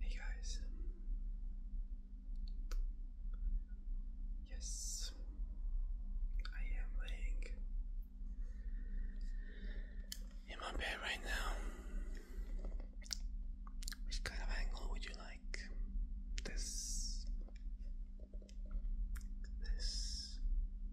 Hey guys. Yes, I am laying in my bed right now. Which kind of angle would you like? This, this,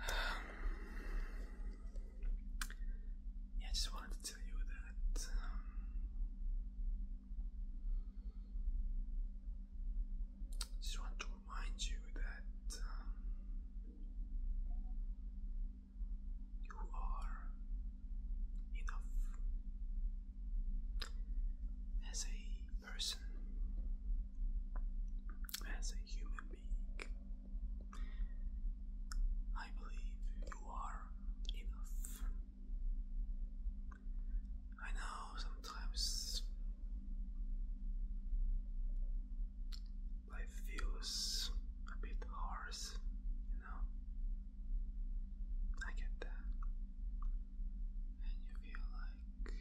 I just wanted to tell you that um, just want to remind you that um, you are enough as a person, as a human being, I believe you are enough. I know sometimes life feels a bit harsh, you know. I get that. And you feel like,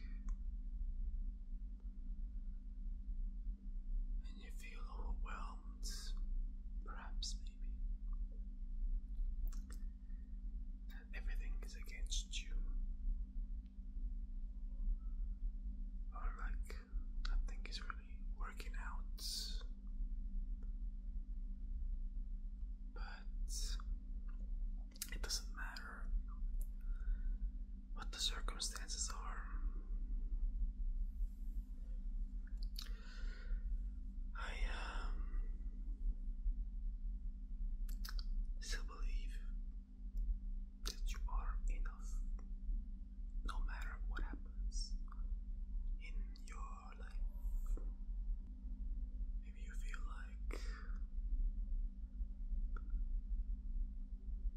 and you feel overwhelmed, perhaps maybe that everything is against you, or like nothing is really working out. But it doesn't matter what the circumstances are. I um, still believe that you are enough no matter what happens in your life. Maybe you feel like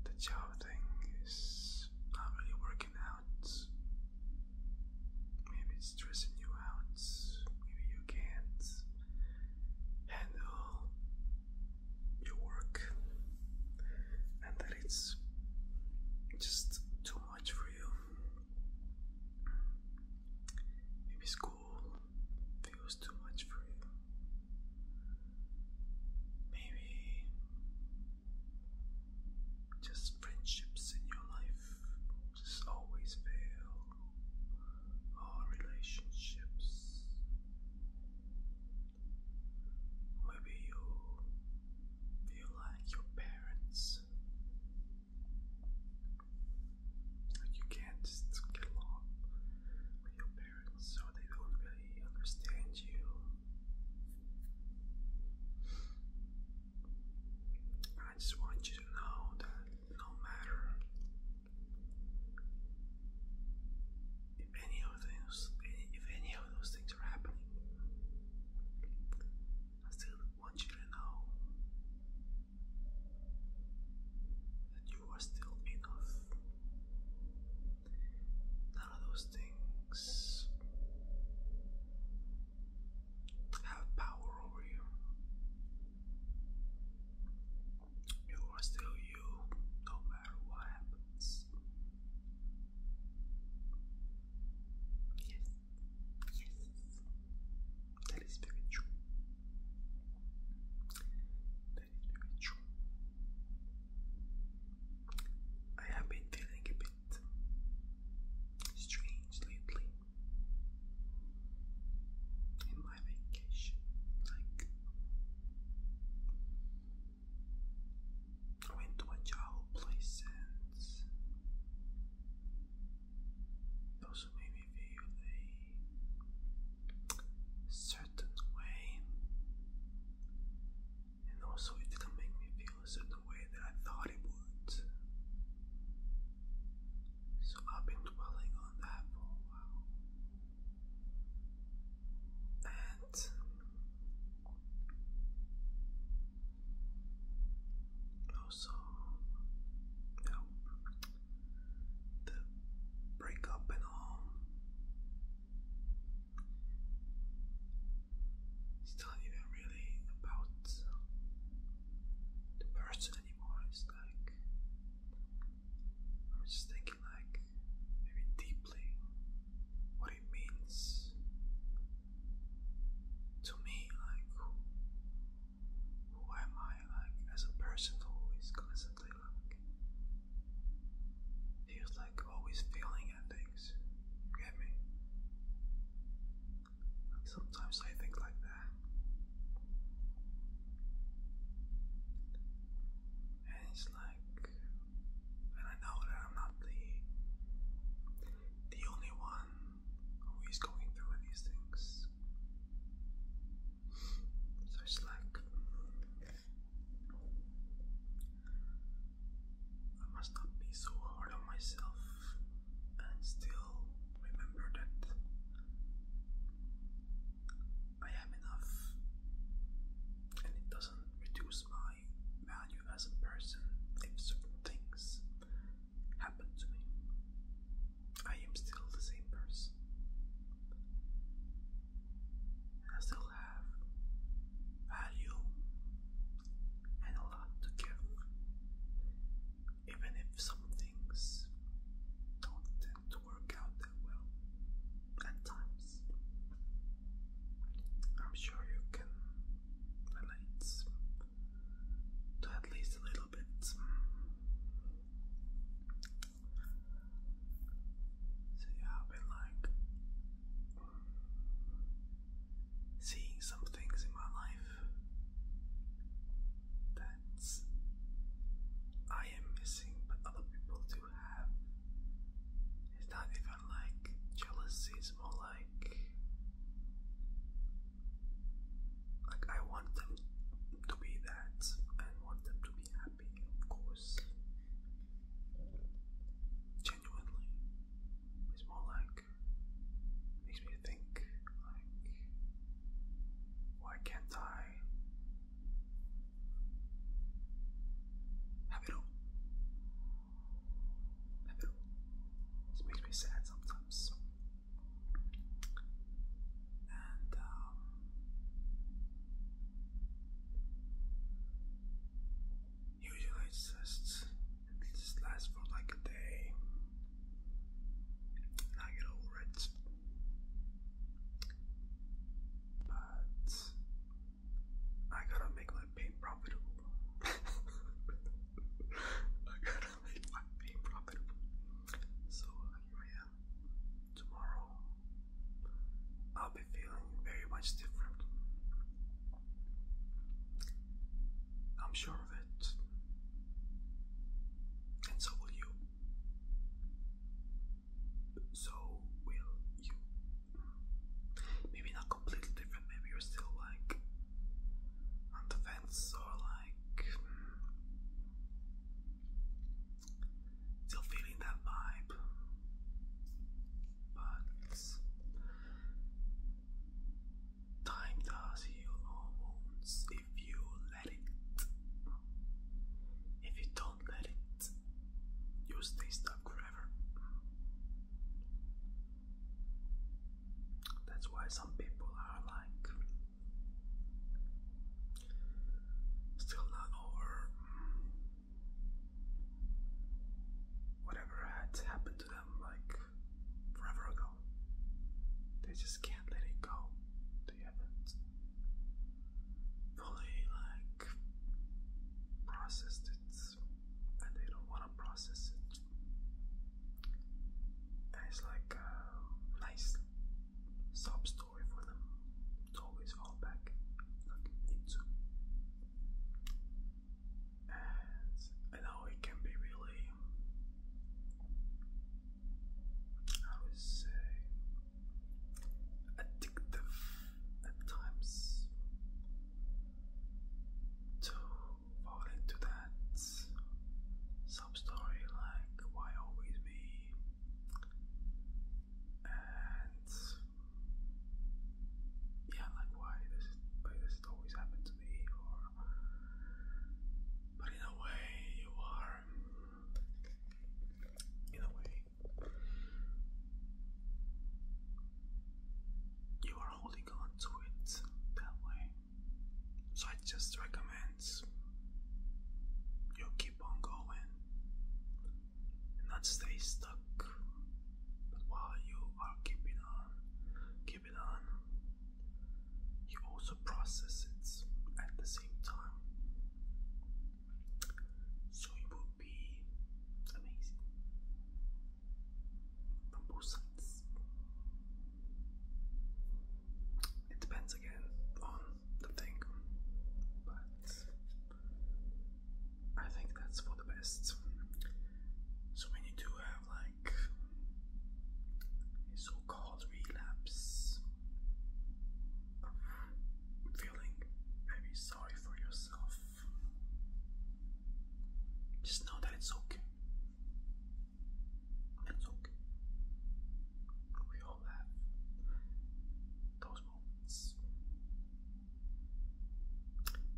the job thing is not really working out. Maybe it's stressing you out. Maybe you can't handle your work, and that it's just too much for you. Maybe school feels too much for you. Maybe just friendships in your life just always fail, or relationships. Maybe you feel like your parents like you can't just get along with your parents, so they don't really understand you. I just want you to know that no matter if any of those if any of those things are happening, I still want you to know that you are still enough. None of those things have power over you. You are still you, no matter what happens. Yes, yes, that is very true. That is very true. I have been feeling a bit strange lately in my vacation. Like, I went to a Jao place and it also made me feel a certain way, and also it didn't make me feel a certain way that I thought it would. So I've been dwelling on that for a while. And also, you the breakup and all. It's not even really about the person anymore. It's like I was just thinking, like maybe deeply, what it means to me, like who am I like as a person who is constantly like feels like always failing at things. get me? sometimes I think like that. And it's like and I know that I'm not the the only one who is going through these things. So it's like I must not be so hard on myself and still remember that I am enough and it doesn't reduce my value as a person if certain things happen to me. I am still the same person. I still have value and a lot to give. Even if some things don't tend to work out that well at times. I'm sure you can relate to at least a little bit. So yeah, I've been like seeing some things in my life that I am missing, but other people do have. It's not even like jealousy, it's more like like I want them to be that and want them to be happy, of course. Genuinely. It's more like makes me think like why can't I have it all? Have it all. It makes me sad sometimes. And um, usually it just lasts for like a day, and I get over it. But I gotta make my pain profitable. I gotta I'm being profitable. So here I am. Tomorrow I'll be feeling very much different. I'm sure of it. And so will you. So will you. Maybe not completely different, maybe you're still like on the fence or like like hmm, still feeling that vibe, but time does heal all wounds if you let it. If you don't let it, you stay stuck forever. That's why some people are like still not over whatever had happened to them like forever ago. They just can't let it go. They haven't fully like processed it and they don't want to process it. That is like a nice sub story for them to always fall back I know it can be really, I would say, addictive at times fall into that sub like why always me and yeah like why does it always happen to me or but in a way you are in a way you are holding on to it that way so I just recommend you keep on going and not stay stuck. while you are keeping on, keep on, you also process it at the same time. So it would be amazing from both sides. It depends again on the thing, but I think that's for the best. So when you do have like so-called relapse feeling very sorry for yourself, just know that it's okay. It's okay. We all have those moments.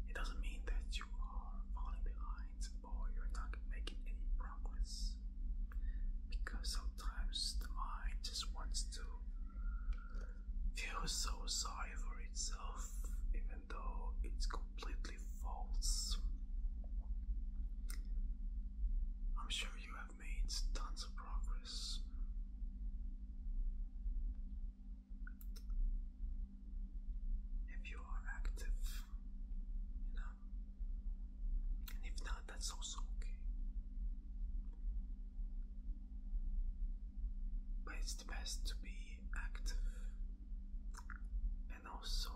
It doesn't mean that you are falling behind or you're not making any progress. Because sometimes the mind just wants to feel so sorry for itself, even though it's completely false. I'm sure you have made tons of progress. If you are active, you know, and if not, that's also okay. But it's best to be active and also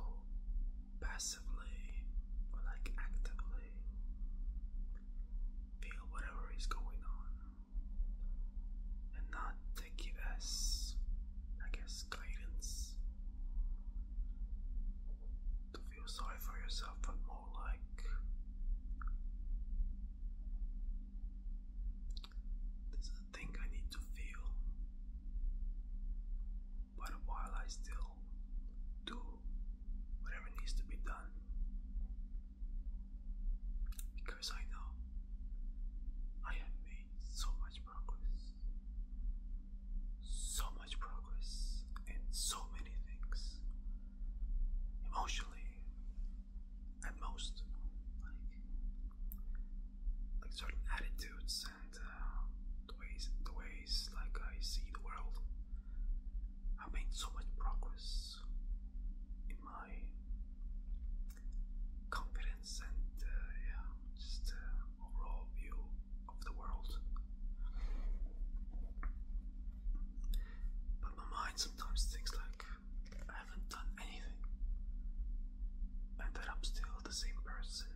passively or like actively feel whatever is going on and not take it as I guess guidance to feel sorry for yourself but more like thing I need to feel. But while I still do whatever needs to be done, because I know I have made so much progress, so much progress in so many things emotionally, at most, like like certain attitudes and uh, the ways the ways like I see the world. I made so much progress in my confidence and uh, yeah, just uh, overall view of the world. But my mind sometimes thinks like I haven't done anything, and that I'm still the same person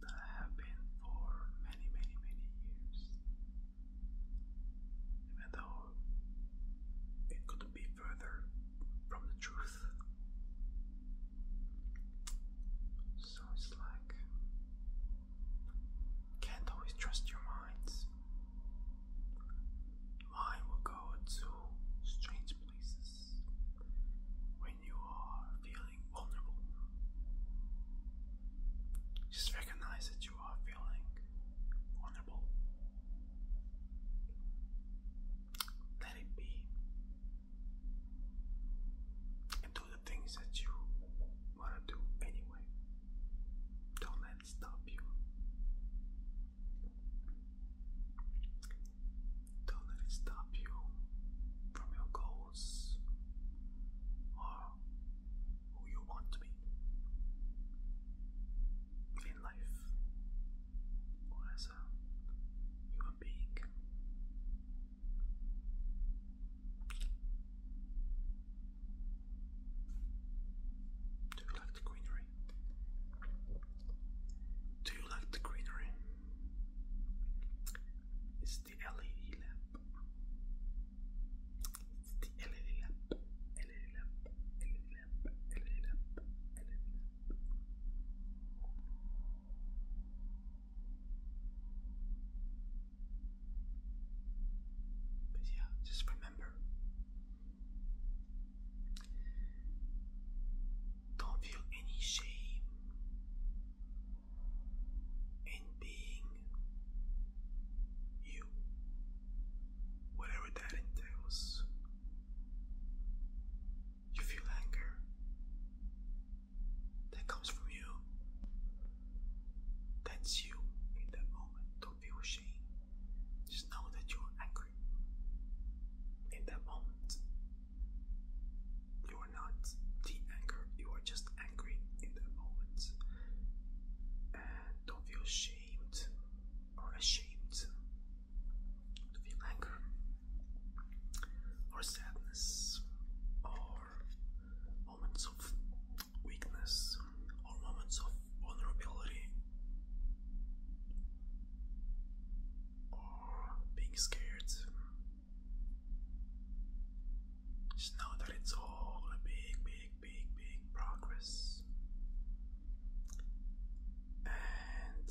that I have been for many, many, many years. Even though it couldn't be further from the truth. So it's like, can't always trust your minds. Mine will go to strange places when you are feeling vulnerable. Just recognize that you are feeling vulnerable. Let it be. And do the things that you want to do anyway. Don't let it stop you. Don't let it stop you from your goals or who you want to be in life as a human being. Do greenery? Do you like the greenery? It's the LED lamp. It's the LED lamp. LED lamp. LED lamp. LED lamp. But yeah, just remember don't feel any shame in being you, whatever that entails. You feel anger that comes from you. That's you in that moment feel ashamed. Just know that you are angry. In that moment, you are not the anger, you are just angry in that moment. And don't feel ashamed or ashamed feel anger or sadness or moments of weakness or moments of vulnerability or being scared. Just know that it's all a big, big, big, big progress. And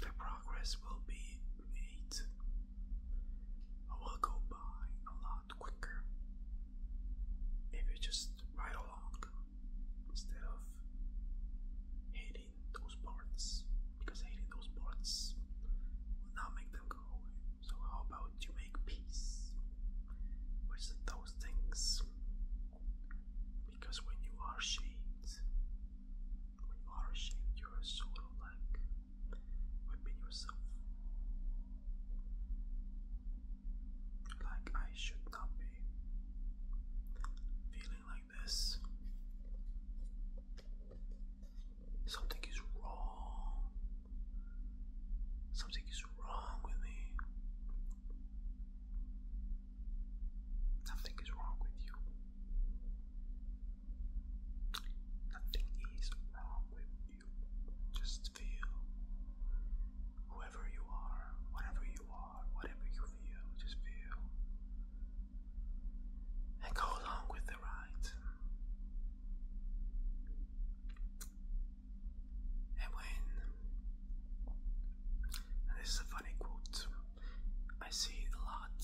the progress will be made. I will go by a lot quicker if you just ride along instead of hating those parts because hating those parts will not make them go away. So, how about you make peace with those things? Because when you are ashamed, when you are ashamed, you are sort of like whipping yourself like I should not be feeling like this. Something is wrong. Something is wrong with me. Nothing is wrong with you. Nothing is wrong with just feel whoever you are, whatever you are, whatever you feel, just feel and go along with the ride. And when, this is a funny quote, I see it a lot,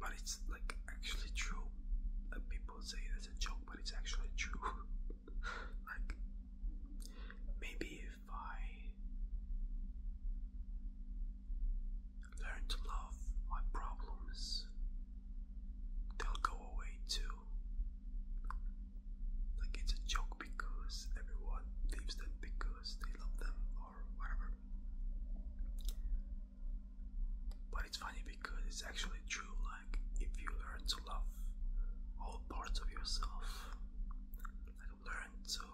but it's like actually true that people say it a joke, but it's actually true. like, maybe if I learn to love my problems, they'll go away too. Like, it's a joke because everyone leaves them because they love them or whatever. But it's funny because it's actually true. Like, if you learn to love all parts of yourself, like, learn to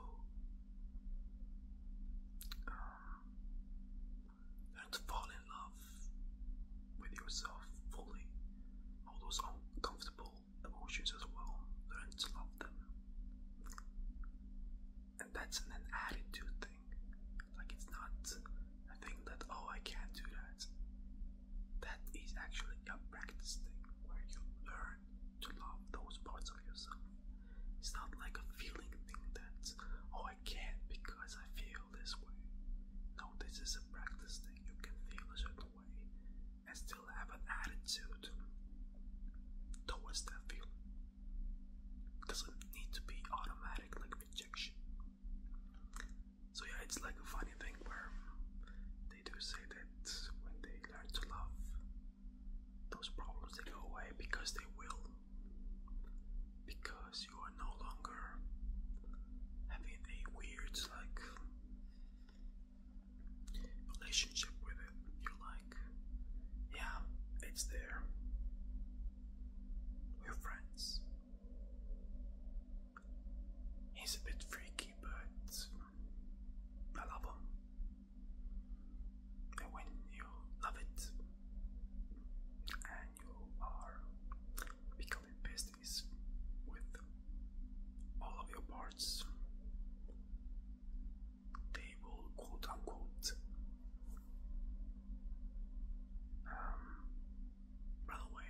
um, learn to fall in love with yourself fully, all those uncomfortable emotions as well. Learn to love them, and that's an attitude thing. Like it's not a thing that oh I can't do that. That is actually a practice thing where you learn to love those parts of yourself. It's not like a feeling thing that oh I can't because I feel this way. No, this is a practice thing. You can feel a certain way and still have an attitude towards that feeling doesn't need to be automatic like rejection. So yeah, it's like a funny thing where they do say that when they learn to love, those problems they go away because they will. Because you are no longer having a weird like relationship with it. You're like, yeah, it's there. We're friends. He's a bit freaky, but I love him. And when you love it and you are becoming besties with all of your parts, they will quote unquote um, by the way,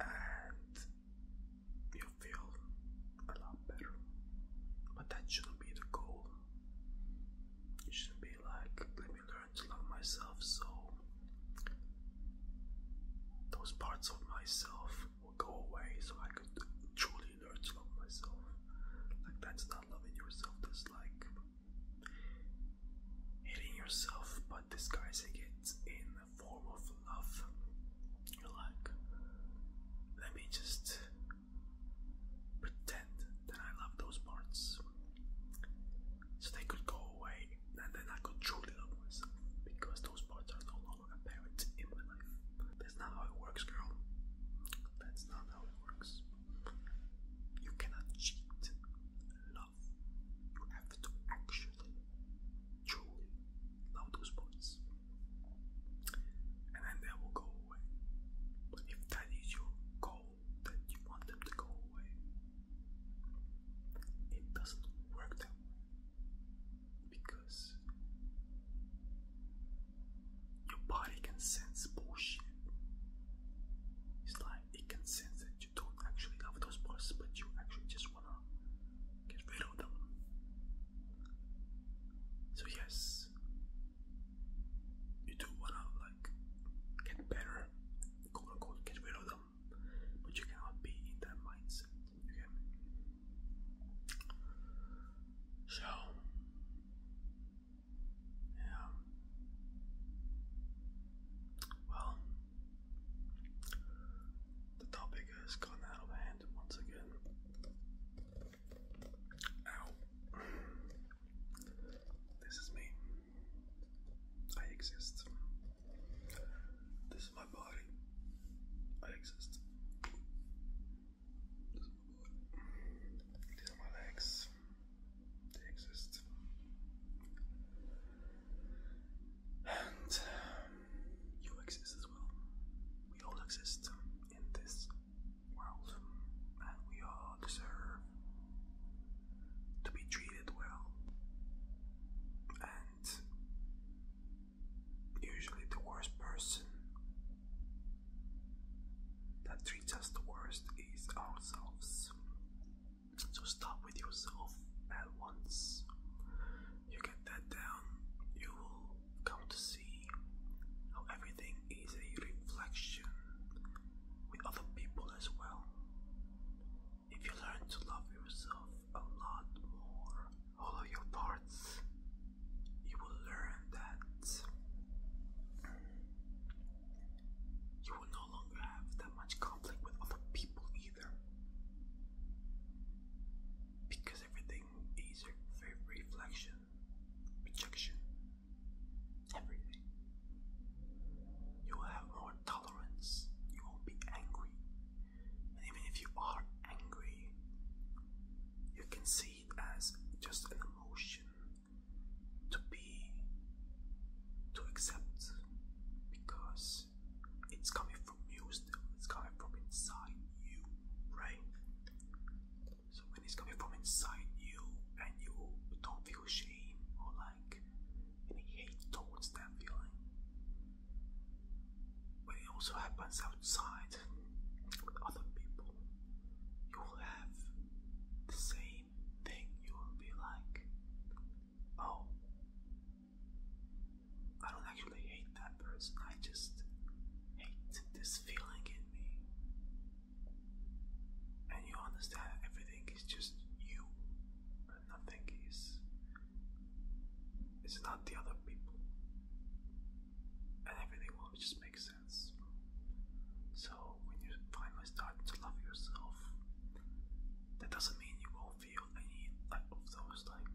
and you feel a lot better, but that shouldn't be the goal. You should be like, let me learn to love myself so those parts of myself will go away so I could truly really myself. Like that's not loving yourself. That's like hating yourself, but disguising it in a form of love. You're like, let me just pretend that I love those parts, so they could go away, and then I could truly love myself because those parts are no longer apparent in my that's not how it works, girl. That's not how it works. You cannot cheat love. You have to actually, truly love those points. And then they will go away. But if that is your goal, that you want them to go away, it doesn't work that way. Because your body can sense bullshit. It's like it can sense that you don't actually love those parts, but you actually just wanna get rid of them. So yes, you do wanna like get better, quote unquote, get rid of them, but you cannot be in that mindset. You can so, yeah. Well, the topic has gone out of hand once again. Ow. This is me. I exist. This is my body. I exist. These my legs. They exist. And um, you exist as well. We all exist in this world, and we all deserve to be treated well and usually the worst person that treats us the worst is ourselves. So stop with yourself at once. You get that down, you will come to see how everything is a reflection with other people as well. If you learn to love yourself a lot more, all of your parts you will learn that you will no longer have that much conflict with other people either. Because everything is a reflection, rejection, everything. You will have more tolerance, you won't be angry. And even if you are angry, you can see it as just an emotion to be to accept because it's coming from you still it's coming from inside you right so when it's coming from inside you and you don't feel shame or like any hate towards that feeling but it also happens outside with other people, you will have the same thing. You will be like, oh, I don't actually hate that person, I just hate this feeling in me. And you understand everything is just you, and nothing is. It's not the other people and everything will just make sense. So when you finally start to love yourself, that doesn't mean you won't feel any of those like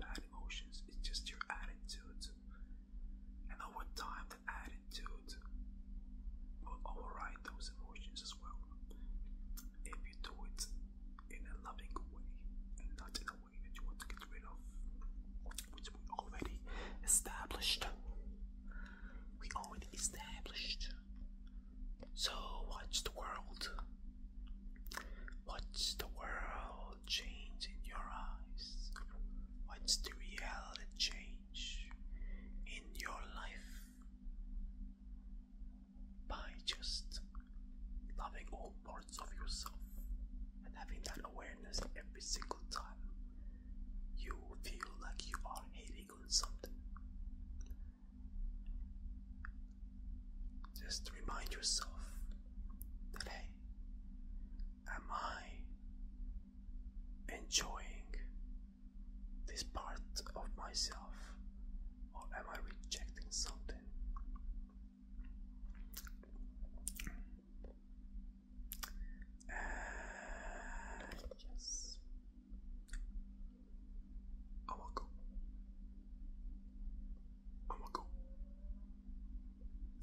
bad emotions. It's just your attitude, and over time, the attitude will override those emotions as well. If you do it in a loving way and not in a way category that you want to get rid of, which we already established. We already established. So watch the world. Watch the world change in your eyes. Watch the reality change in your life by just loving all of yourself and having that awareness every single time you feel like you are hating on something. Just remind yourself that hey, am I enjoying this part of myself or am I rejecting something? yes. Uh, I want go. I want go.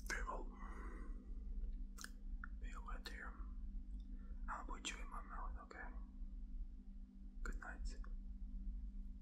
Very well. Very well, dear. I'll put you in my mouth, okay? Good night.